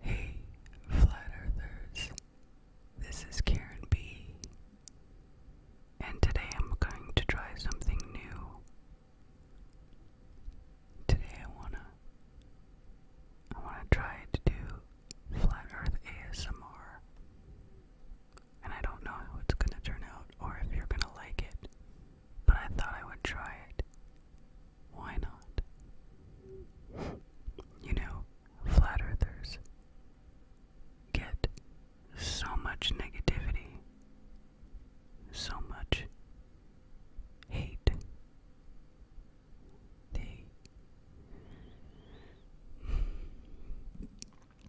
Hey, Flat Earthers, this is Karen B. And today I'm going to try something new. Today I wanna I wanna try to do Flat Earth ASMR and I don't know how it's gonna turn out or if you're gonna like it, but I thought I would try it. Why not? You know, flat earthers get so much negativity, so much hate. They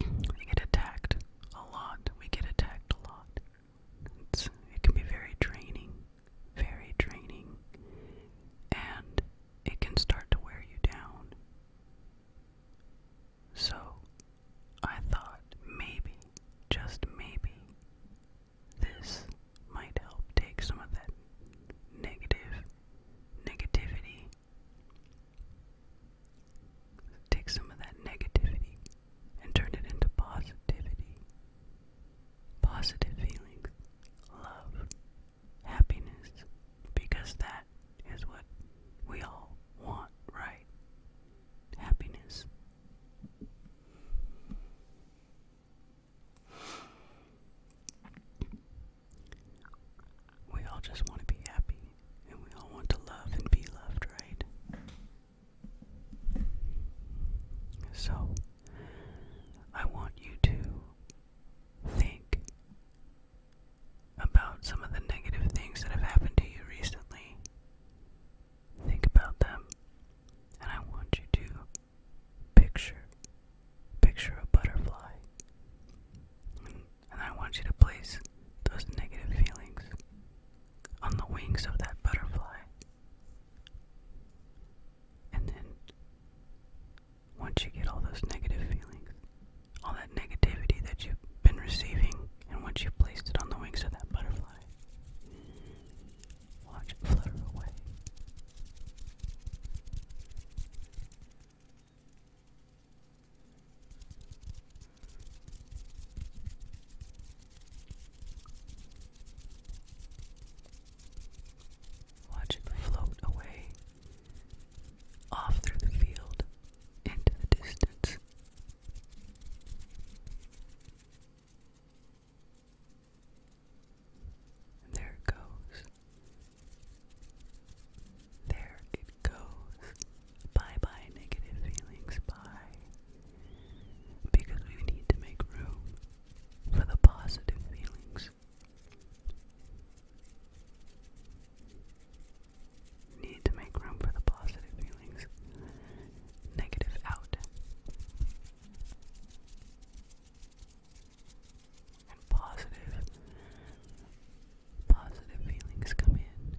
we get attacked a lot. We get attacked a lot. It's, it can be very draining, very draining, and it can start to wear you down. So, I thought maybe, just maybe, this might help take some of that negative negativity Take some of that negativity and turn it into positivity. Positive feelings, love, happiness, because that is what we all want, right? Happiness. We all just want to be happy and we all want to love and be loved, right? So, I want you to think about some of the negative things that have happened to you recently. Think about them, and I want you to picture picture a butterfly and I want you to place those negative feelings on the wings of that butterfly. And then, once you get all those negative feelings, all that negativity that you've been receiving, and once you've placed it on the wings of that butterfly, watch it flutter away. Watch it float away, off through the field, into the distance. there it goes, there it goes. Bye bye, negative feelings. Bye. Because we need to make room for the positive feelings. Need to make room for the positive feelings. Negative out. And positive positive feelings come in.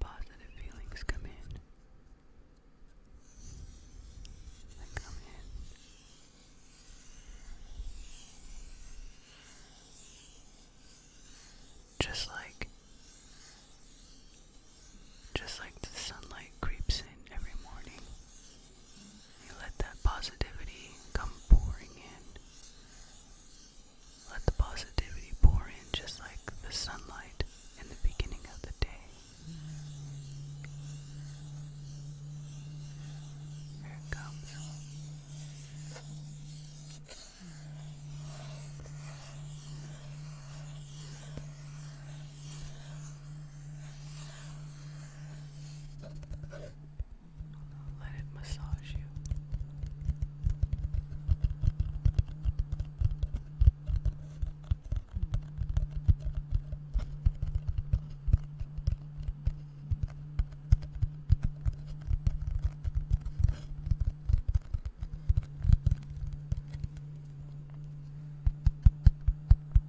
Positive feelings come in. They come in. Just like just like the sunlight creeps in every morning. You let that positivity come pouring in. Let the positivity pour in just like the sunlight in the beginning of the day. Here it comes. Let it massage you. Let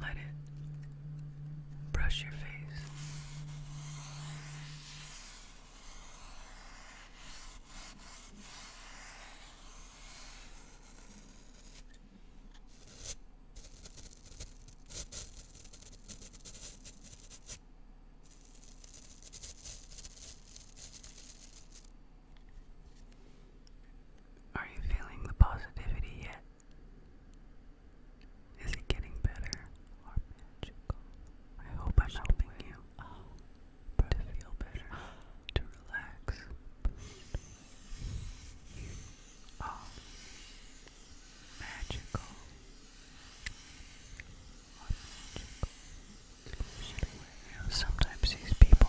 Let it brush your face. Are you feeling the positivity yet? Is it getting better magical? I hope I'm helping you oh, to feel better, to relax. Oh, magical. magical. sometimes these people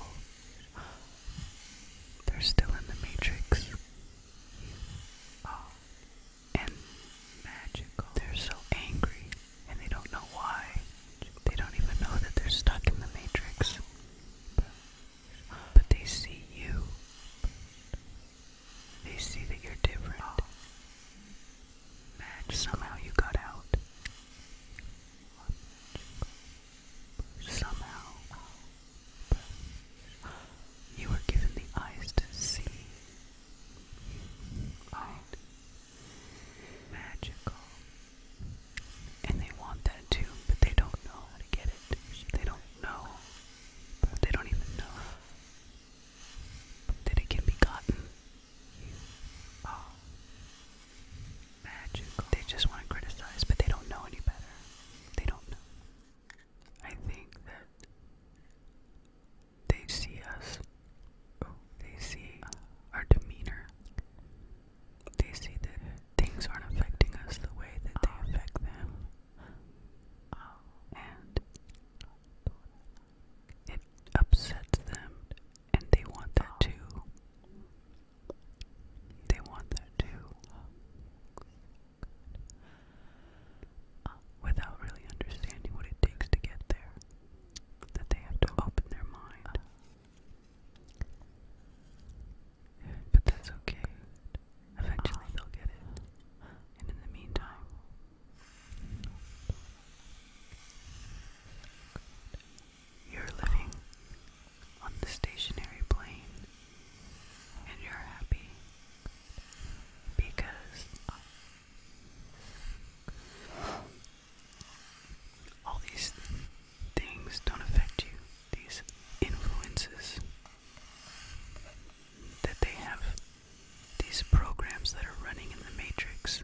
they're still in the matrix. Oh, and magical. They're so angry, and they don't know why. They don't even know that they're stuck in the matrix. But they see you. They see that you're different. Oh, Somehow you got out. Oh, somehow, you were given the eyes to see. Magical. And they want that too, but they don't know how to get it. They don't know. They don't even know that it can be gotten magical. They just want to criticize, but they don't know any better. They don't know. I think that they see us. Oh, they see uh, our demeanor. They see that things aren't affecting us the way that they um, affect them. Um, and it upsets them, and they want that um, too. They want that too. without really understanding what it takes to get there, that they have to open their mind. But that's okay. Eventually they'll get it. And in the meantime, you're living on the stationary plane and you're happy because all these things don't affect you, these influences that they have, these programs that are running in the matrix,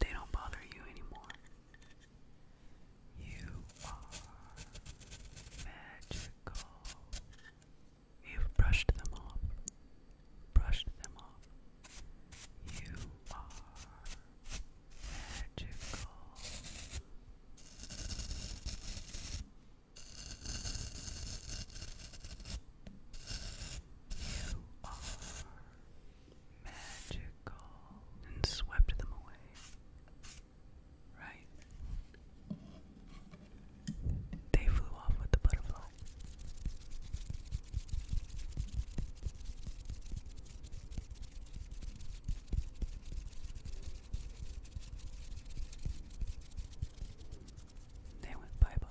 they don't bother you anymore. You are magical. you brushed them off. Brushed them off. You are magical. You are magical and swept them away. Right? They flew off with the butterfly. They went bye bye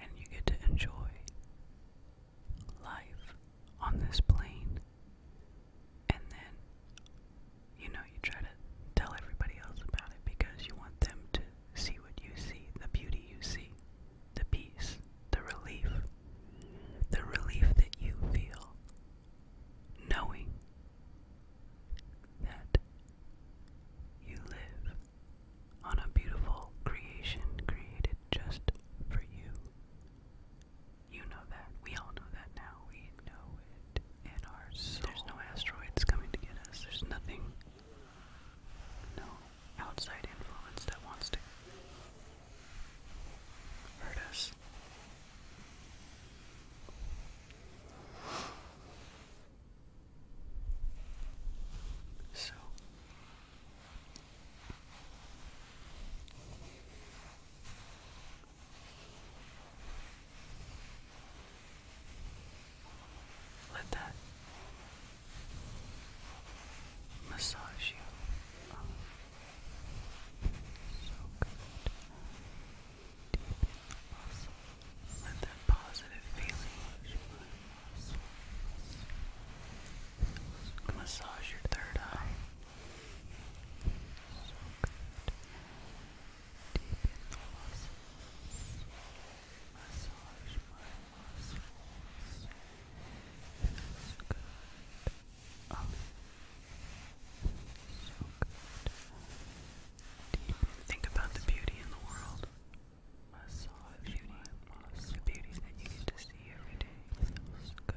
and you get to enjoy life on this plane. And then, you know, you try to tell everybody else about it because you want them to see what you see, the beauty you see, the peace, the relief, the relief that you feel knowing that you live on a beautiful creation created just for you. You know that. We all know that now. We know it in our soul. There's no asteroids coming to get us. There's nothing, no outside influence that wants to hurt us. So, let that massage you. So good. Deep Let that positive feeling Massage your third eye. So good. Massage my muscles. Feels So good. Think about the beauty in the world. Massage beauty. The beauty that you get to see every day feels good.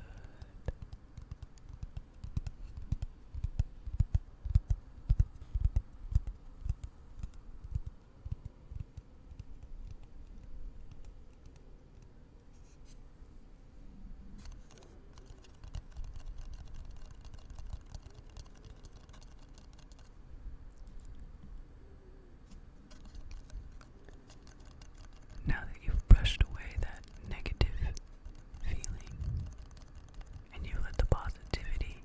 Now that you've brushed away that negative feeling and you let the positivity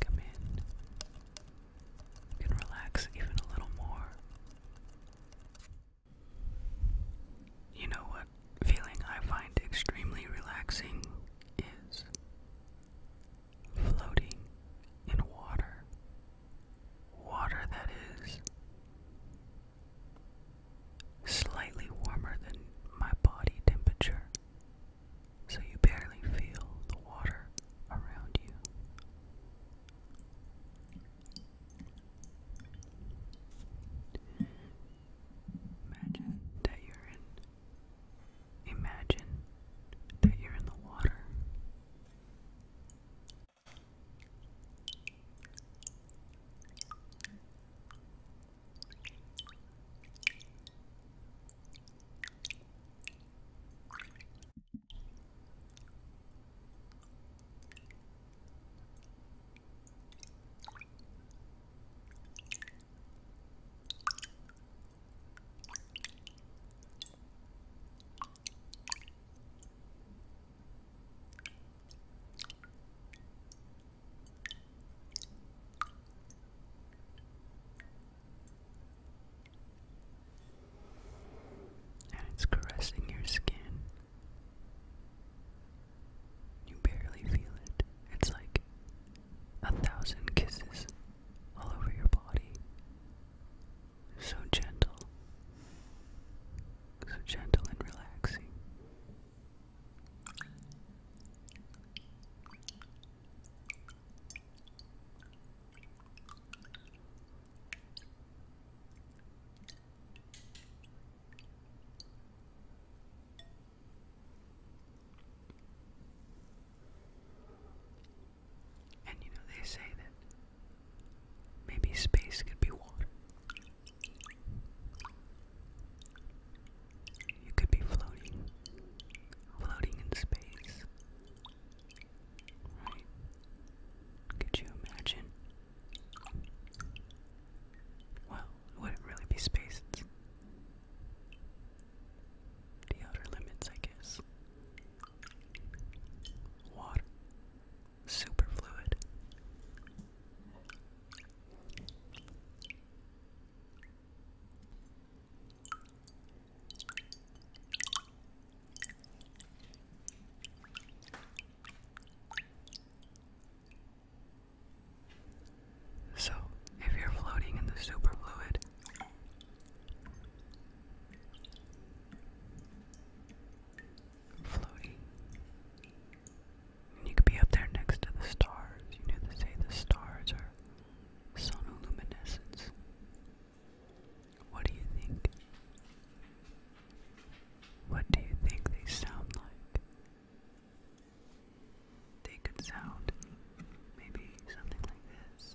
come in, you can relax even a little more. You know what feeling I find extremely relaxing is floating in water. Water that is slightly warmer than my body temperature, so you barely feel the water around you. Imagine that you're in Imagine that you're in the water. And it's caressing your skin. You barely feel it. It's like a thousand kisses all over your body. So gentle, so gentle and relaxing. And you know, they say that maybe space could be water. You could be floating, floating in space. Could you imagine? Well, it wouldn't really be space, the outer limits, I guess. Water, superfluid. So, if you're floating in the superfluid, Floaty. you could be up there next to the stars. You know they say the stars are sonoluminescence. What do you think? What do you think they sound like? they could sound. Maybe something like this.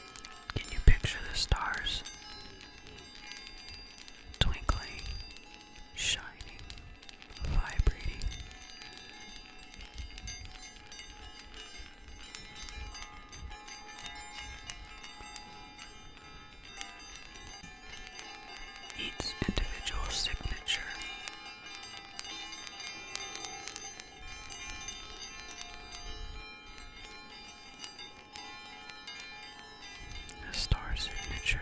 Can you picture the stars? Twinkling, shining, vibrating. Each individual signature a star signature.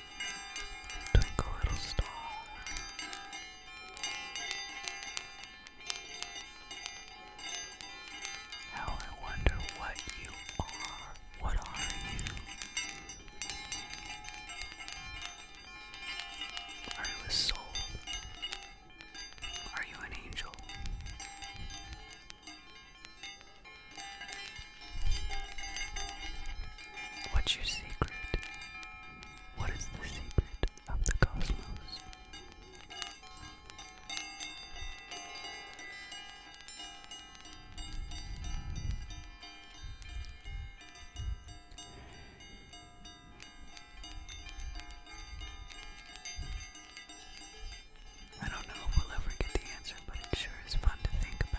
Twinkle little star. How I wonder what you are. What are you? Are you a soul? Are you an angel? What's your secret? What is the secret of the cosmos? I don't know if we'll ever get the answer, but it sure is fun to think about.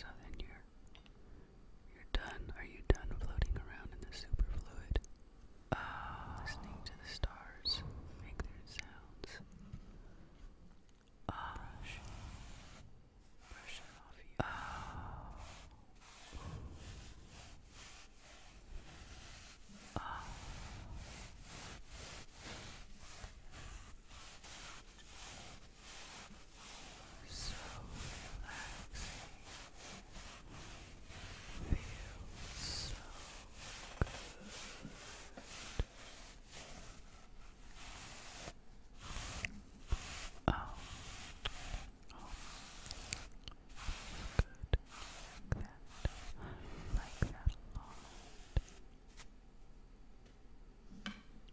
So then you're you're done. Are you done floating around in the superfluid? Ah, listening to the stars make their sounds. Ah, uh, off you. Ah. ah. So relaxing. Feels so good. Oh. Oh. Good. Like that. like that a lot.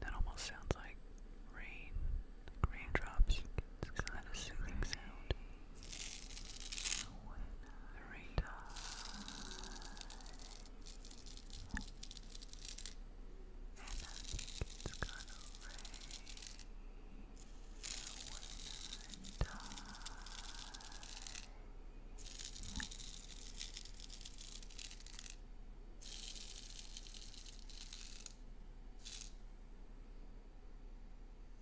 That almost sounds like rain, like raindrops. It's kind of soothing sound. Rita. And I think it's going when I die.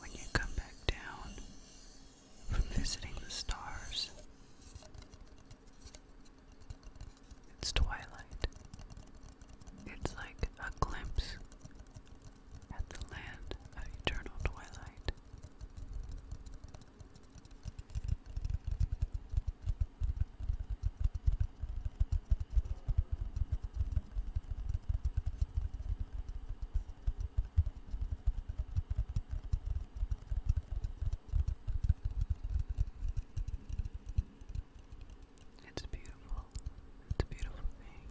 When you come back down, from visiting the stars. It's twilight. It's like a glimpse at the land of eternal twilight. It's beautiful. It's a beautiful thing.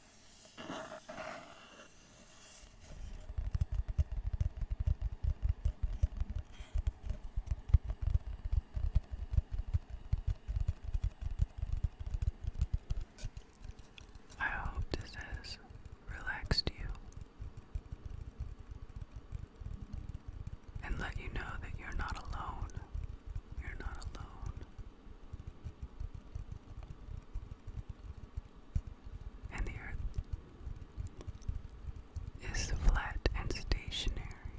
I hope this has relaxed you and let you know that you're not alone. You're not alone and the earth is flat and stationary.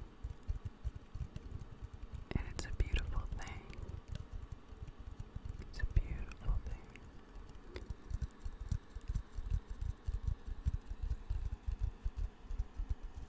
And it's a beautiful thing. It's a beautiful thing.